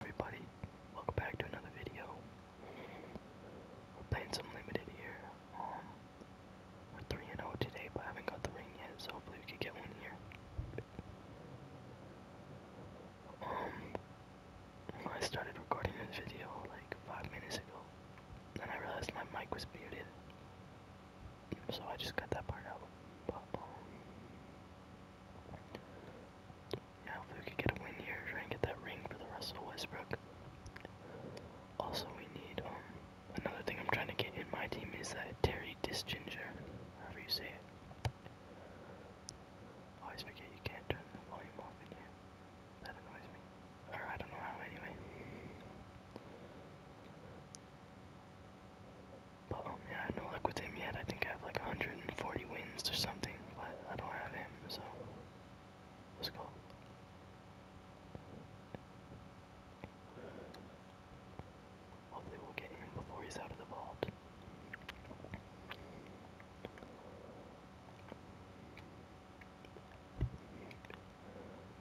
everybody, welcome back to another video. We're playing some limited here. Um, we're 3 and 0 today, but haven't got the ring yet, so hopefully we can get one here. Um, I started recording this video like 5 minutes ago, and I realized my mic was muted, so I just cut that part out. Um, now if we could get a win here, try and get that ring for the Russell Westbrook. Also we need, um, another thing I'm trying to get in my team is that Terry Disginger, however you say it. Always forget you can't turn the volume off in here. That annoys me. Or I don't know how anyway. But um, yeah, I have no luck with him yet. I think I have like 140 wins or something but I don't have him, so let's go. Hopefully we'll get him before he's out of the vault.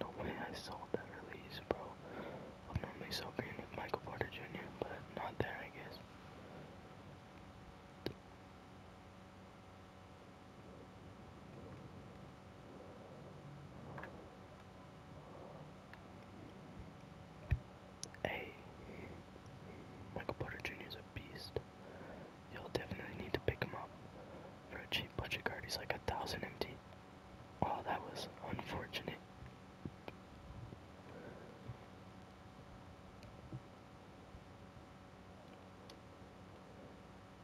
No way I sold that release, bro. I'm normally so green with Michael Porter Jr., but not there, I guess. Hey, Michael Porter Jr. is a beast. You'll definitely need to pick him up. For a cheap budget card, he's like a thousand empty. Oh, that was unfortunate.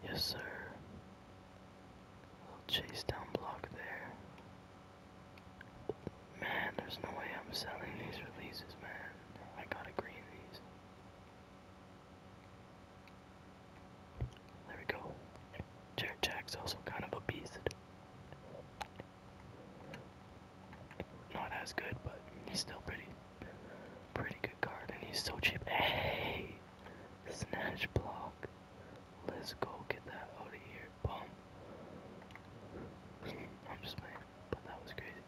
Yes, sir. Little chase down block there. Man, there's no way I'm selling these releases, man. I gotta green these. There we go. Jared Jack's also kind of a beast. Not as good, but he's still pretty, pretty good card, and he's so cheap. Hey, snatch block. Let's go get that out of here. Boom. I'm just playing, but that was crazy.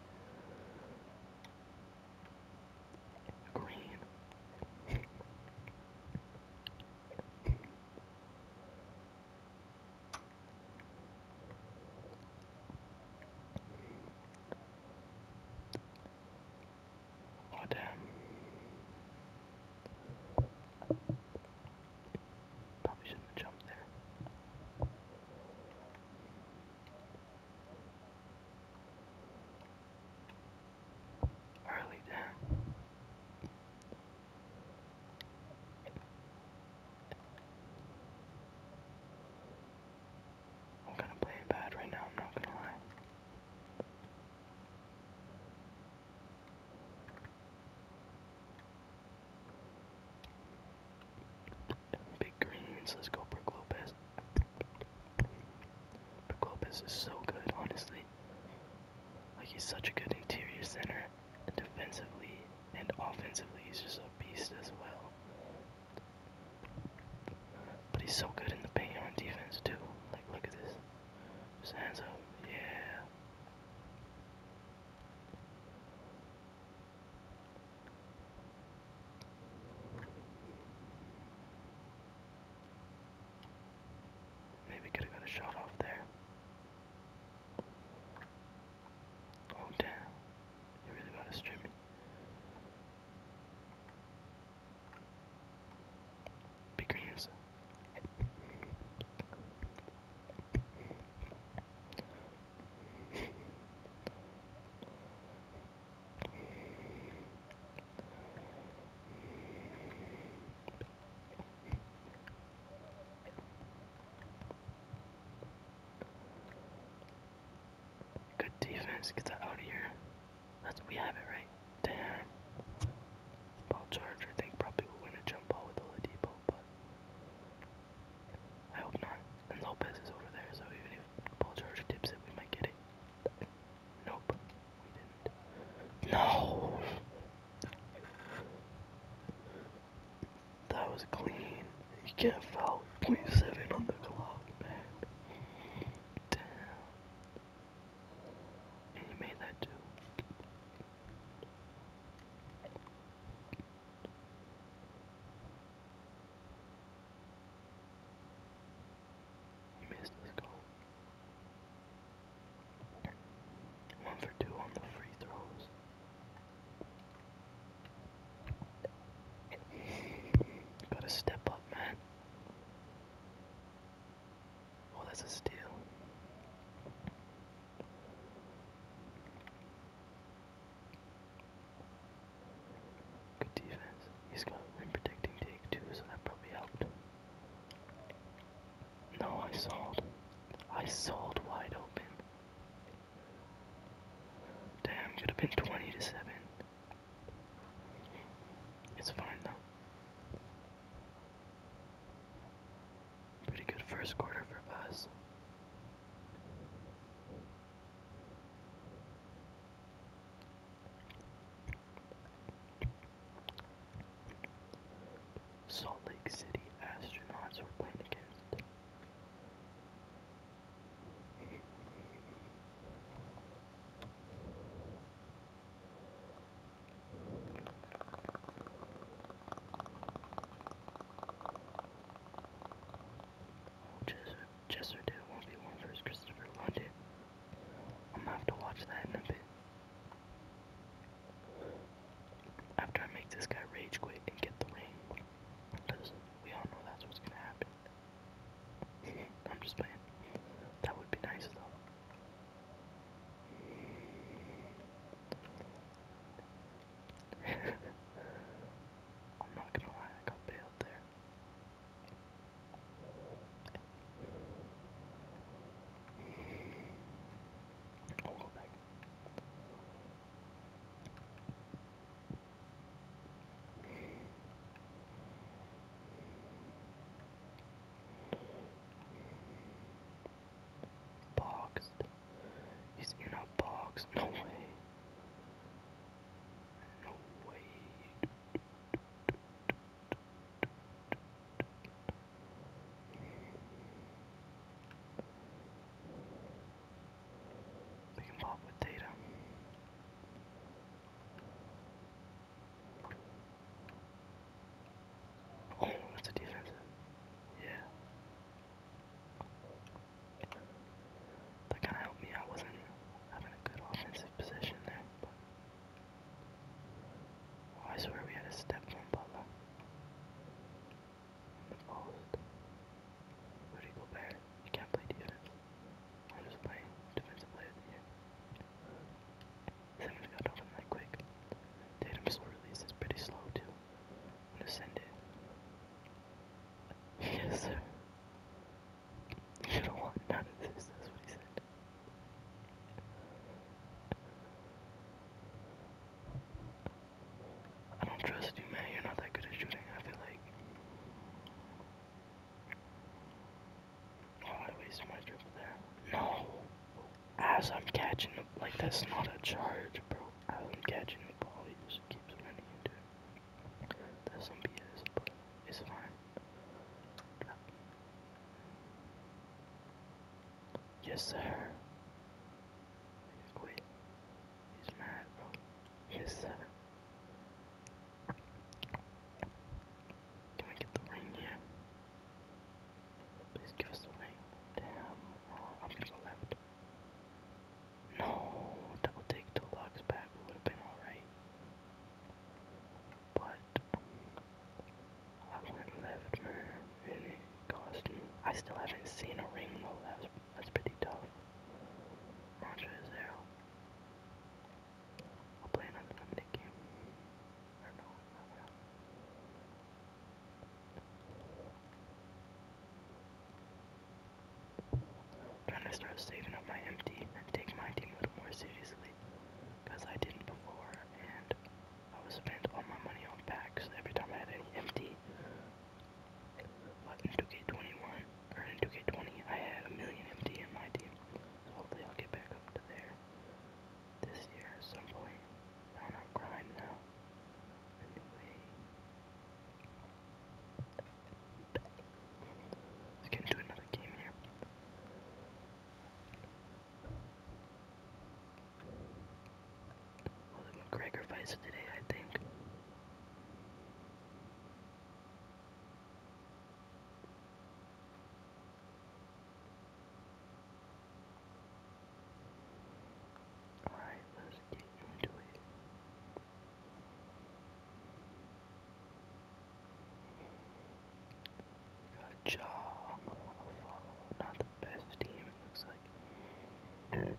Green. Oh, damn. Probably shouldn't have jumped there. Early, damn. I'm gonna play bad right now, I'm not gonna lie. Big greens, let's go Brook Lopez. Brook is so good, honestly. Like he's such a good interior center, defensively and offensively he's just a beast as well. But he's so good in the paint on defense too. Like look at this. Just hands up. Yeah. Maybe could have got a shot off there. Oh damn. You really gotta stream me. Be creative, Good defense. Get that out of here. That's we have it right. Damn. Ball Charger think probably will win a jump ball with Oladipo, but I hope not. And Lopez is over there, so even if Ball Charger tips it, we might get it. Nope, we didn't. No. That was clean. You can't foul .7 on the clock, man. Damn. And you made that too. You missed this goal. One for two on the free throws. Gotta step up, man. Oh, that's a steal. Good defense. He's got him protecting take too, so that probably helped. No, I sold. I sold wide open. Damn, could have been 20 to 7. It's fine though. Pretty good first quarter for us. Salt Lake City astronauts were playing against Chester did 1v1 versus Christopher London. I'm gonna have to watch that in a bit. After I make this guy rage quit and get the ring. Because we all know that's what's gonna happen. I'm just playing. That would be nice though. I'm not gonna lie, I got bailed there. I'll go back. Boxed. He's in a box. No way. No way. We can plot with data. Oh, that's a defensive. Yeah. That kind of helped me. I wasn't having a good offensive position there. Oh, I swear we had a step from Butler. Almond. Rudy Gobert. He can't play defense. I'm just playing defensive player of the year. Uh, Simmons got open that quick. Tatum's release is pretty slow too. I'm gonna send it. yes, sir. You don't want none of this, that's what he said. I don't trust you, man. You're not that good at shooting, I feel like. Oh, I wasted my dribble there. No! As I'm catching like that's not a charge, bro. As I'm catching the ball, he just keeps running into it. That's some BS, but it's fine. Yes, sir. Wait. He's mad, bro. Yes. seven. Can we get the ring here? Please give the ring. Damn. Oh, I'm gonna left. No, that take two blocks back. would have been alright. But I went left, man, it cost me. I still haven't seen a ring though. That's pretty tough. Not arrow. I'll play an unlimited game. Or no, not now. Trying to start saving up my empty take my team a little more seriously. Because I didn't before I was spent all my money on packs. Every time I had any empty, like in 2K21 earning 2K20, I had a million MT in my team. So hopefully I'll get back up to there this year at some point. I don't know, grind now. Anyway. Let's get into another game here. Well, the McGregor fights today, I think. All right, let's get into it. Got Jong, not the best team it looks like.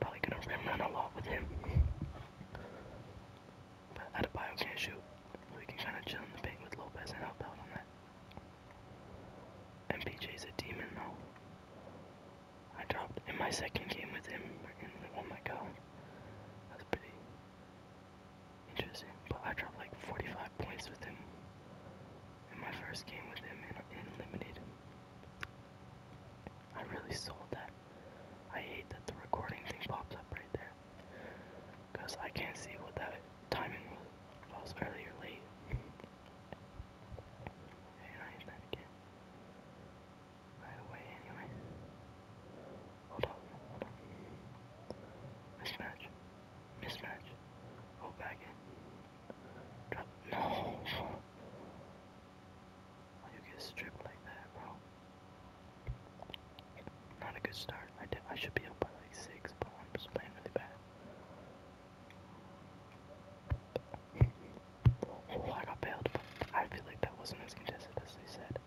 Probably gonna rim run a lot with him. But Adebayo can't shoot, so we can kind of chill in the paint with Lopez and help out on that. MPJ's a demon though. I dropped in my second game with him, and oh my god, that's pretty interesting. But I dropped like 45 points with him in my first game with him in, in Limited. I really sold that. I hate that the recording thing pops up right there. Because I can't see what that timing was. I was earlier late. and I hit again. Right away, anyway. Hold on, Mismatch. Mismatch. Oh, back in. No. you get stripped like that, bro? Not a good start. I did. I should be up by like six, but I'm just playing really bad. Oh, I got bailed, but I feel like that wasn't as contested as they said.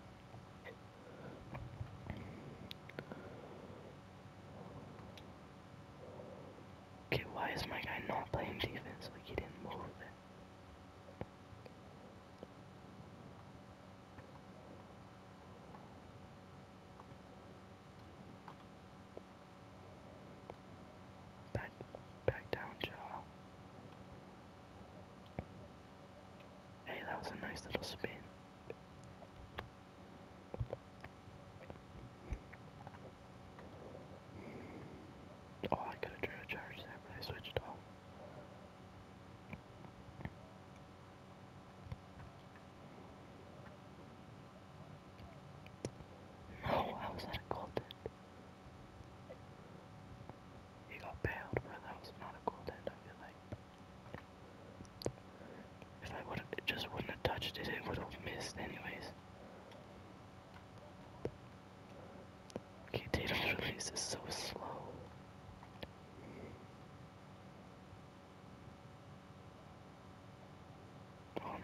Okay, why is my guy not playing defense? Like he didn't move Back, back down, Joe. Hey, that was a nice little spin. Oh, I could have drew a charge there, but I switched off. No, how was that a golden? He got bailed, but that was not a golden, I feel like. If I would have, it just wouldn't have touched it, it would have missed anyways. Okay, Data's release is so slow. Oh, I'm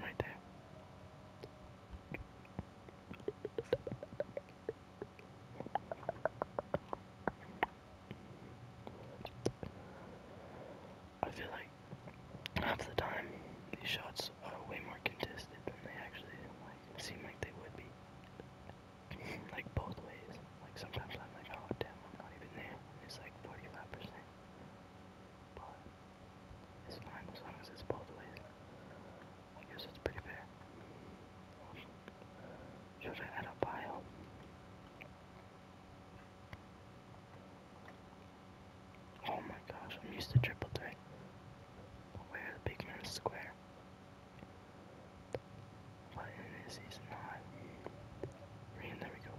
I feel like half the time, these shots are way more contested than they actually like seem like they would be. like both ways. Like sometimes I'm like, oh damn, I'm not even there. It's like 45%. But it's fine as long as it's both ways. I guess it's pretty fair. Should I add a bio? Oh my gosh, I'm used to triple three. Where the big man square? What he's not? Green, there we go.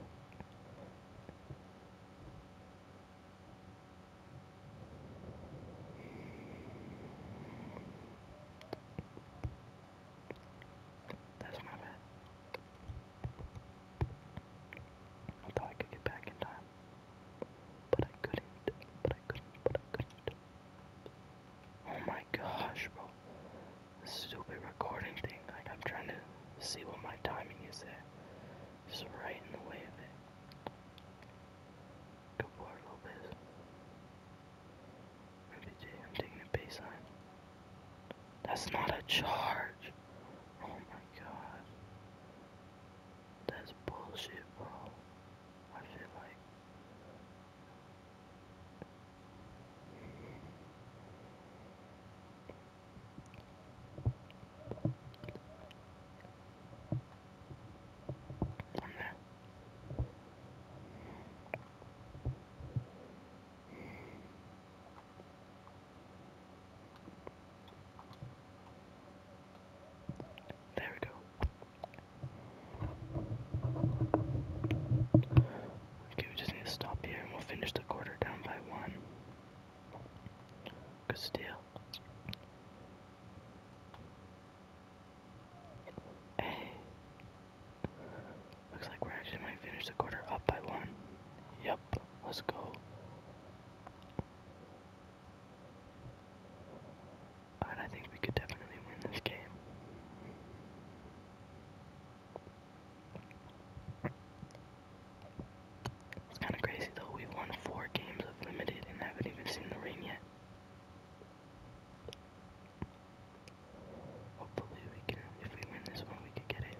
That's my bad. I thought I could get back in time. But I couldn't, but I couldn't, but I couldn't. Oh my gosh, bro. Stupid recording thing. Like, I'm trying to see what my timing is there. Just right in the way of it. Good board, Lopez. MBJ, I'm taking a baseline. That's not a charge. Oh my god. That's bullshit, bro. I feel like. There we go. Okay, we just need to stop here and we'll finish the quarter down by one. Good steal. Hey. Looks like we're actually might finish the quarter up by one. Yep, let's go. And I think we could definitely win this game. It's kind of crazy though, we won four games of limited and haven't even seen the rain yet. Hopefully we can, if we win this one, we could get it.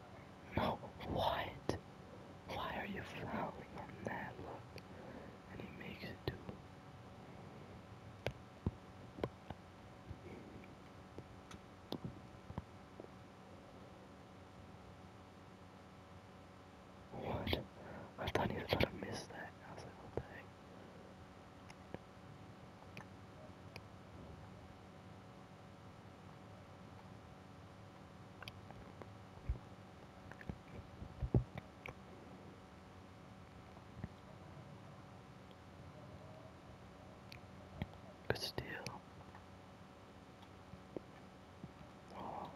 No, what? Why are you frowning on that? Look. And he makes it do. What? I thought he was gonna miss that. I was like, what the heck? Good steal. Oh.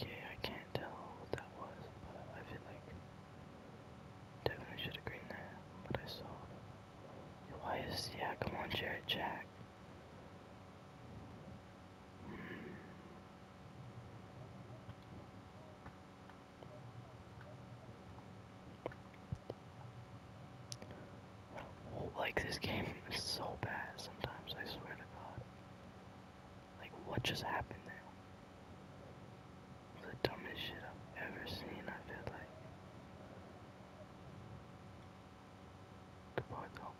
Okay, I can't tell what that was, but I feel like definitely should have green that, but I saw. Why is yeah? Come on, Jared Jack. Like, this game is so bad sometimes, I swear to God. Like, what just happened now? The dumbest shit I've ever seen, I feel like the bottle.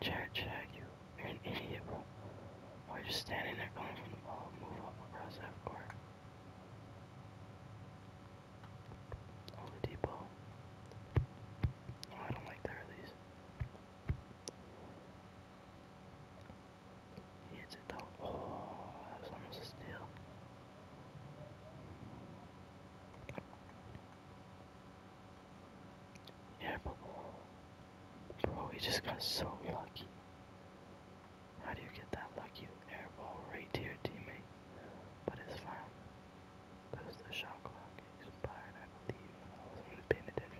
Jack, Jack, you, you're an idiot, bro. Why are you standing there going from the ball? Move up across that court. Oh, the deep ball. Oh, I don't like the release. He hits it though. Oh, that was almost a steal. Yeah, bro, we just got so lucky. How do you get that lucky airball right to your teammate? But it's fine. Because the shot clock expired, I believe. I wasn't really paying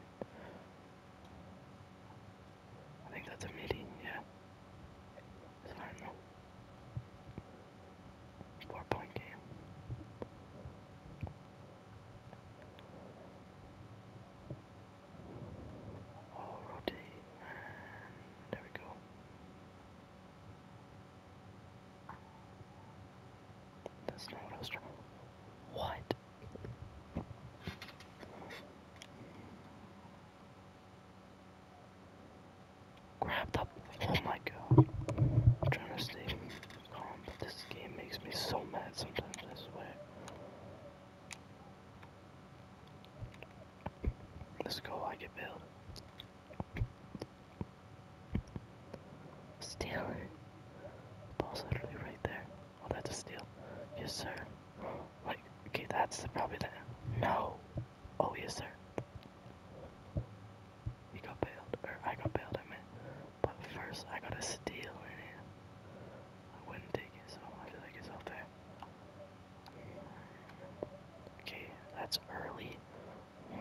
I think that's a midi, yeah and I Four point game. Oh, rotate, and there we go. That's not what I What? Grabbed up. Oh my god. I'm trying to stay calm, but this game makes me so mad sometimes, I swear. Let's I get bailed. Steal it. Ball's literally right there. Oh, that's a steal. Yes, sir. Like, okay, that's the, probably the. No. Oh, yes, sir. He got bailed, or I got bailed, I meant. But first, I got a steal it. I wouldn't take it, so I feel like it's all fair. Okay, that's early.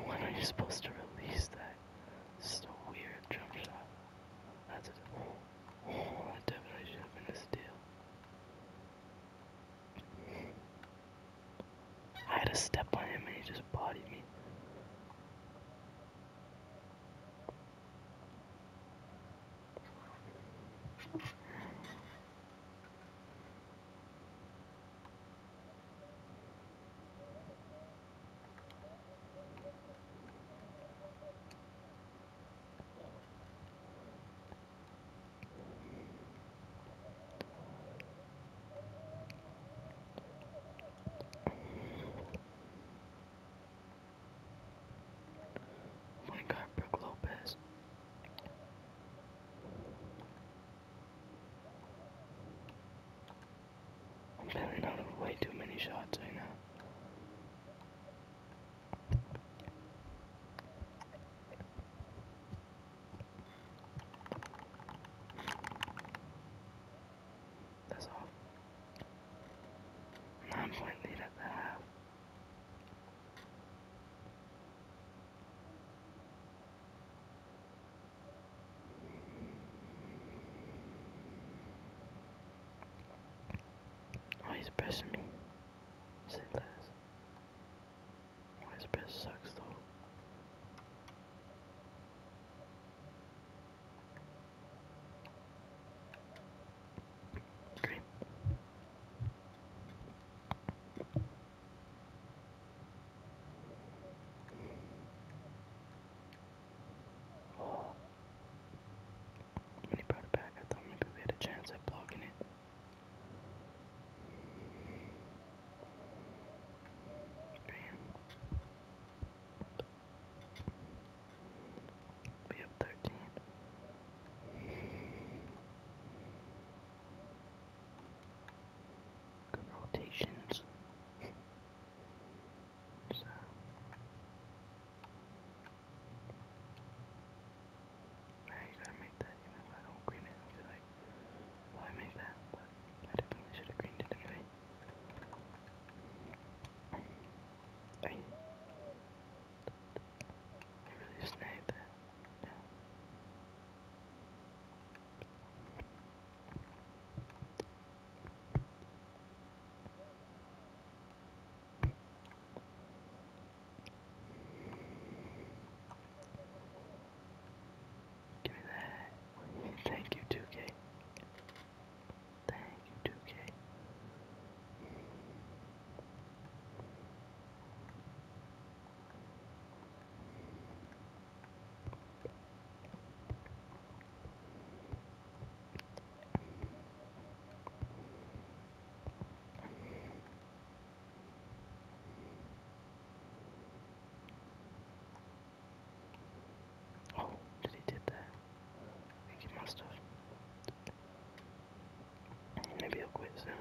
When are you supposed to release that? This a weird jump shot. That's it. Oh, definitely should have been a steal. I had to step on him and he just bodied me. Oh my God, Brooke Lopez. I'm bailing out of way too many shots right now. That's all. Nine point he's pressing me. Sit last. This bit sucks though. Green. When he brought it back, I thought maybe we had a chance at blocking it. We have thirteen. Good rotations. so. Right, you gotta make that even if I don't green it, I feel like why make that, but I definitely should have greened it anyway. I, I really snagged that. Yeah. Give me that. Thank you, 2K. Thank you, 2K. Oh, did he did that? I think he must have. Maybe he'll quit soon.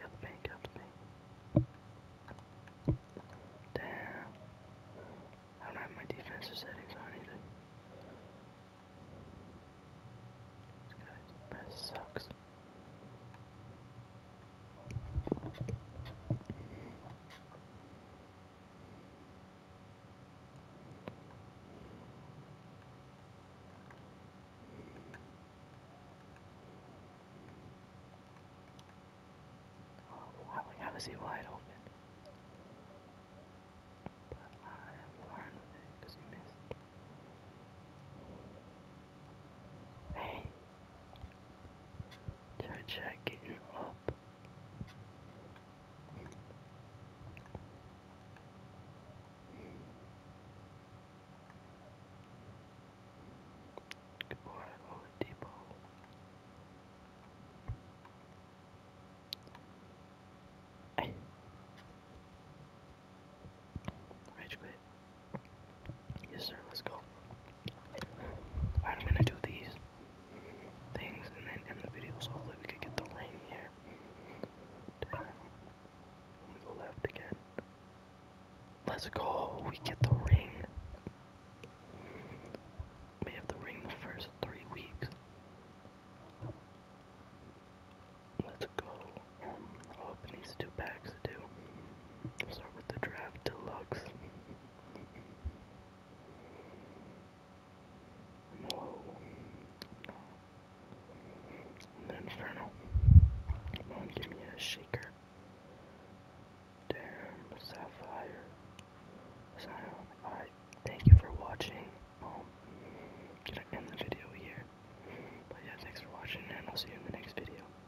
Got the paint, got the paint. Damn. I don't have my defensive settings on either. This guy's sucks. Wow, how is he wide open? But I am fine with it because he missed. Hey, they're checking up. Good boy, Oladipo. Rage quit. Yes, sir, let's go. I'm gonna do these things and then end the video so hopefully we could get the rain here. Let me go left again. Let's go, we get the ring. We have the ring the first three weeks. Let's go. open oh, these two packs too. Start with the draft deluxe. Whoa. Inferno. Come on, give me a shaker. Damn, Sapphire. alright, thank you for watching. Um, gonna end the video here. But yeah, thanks for watching, and I'll see you in the next video.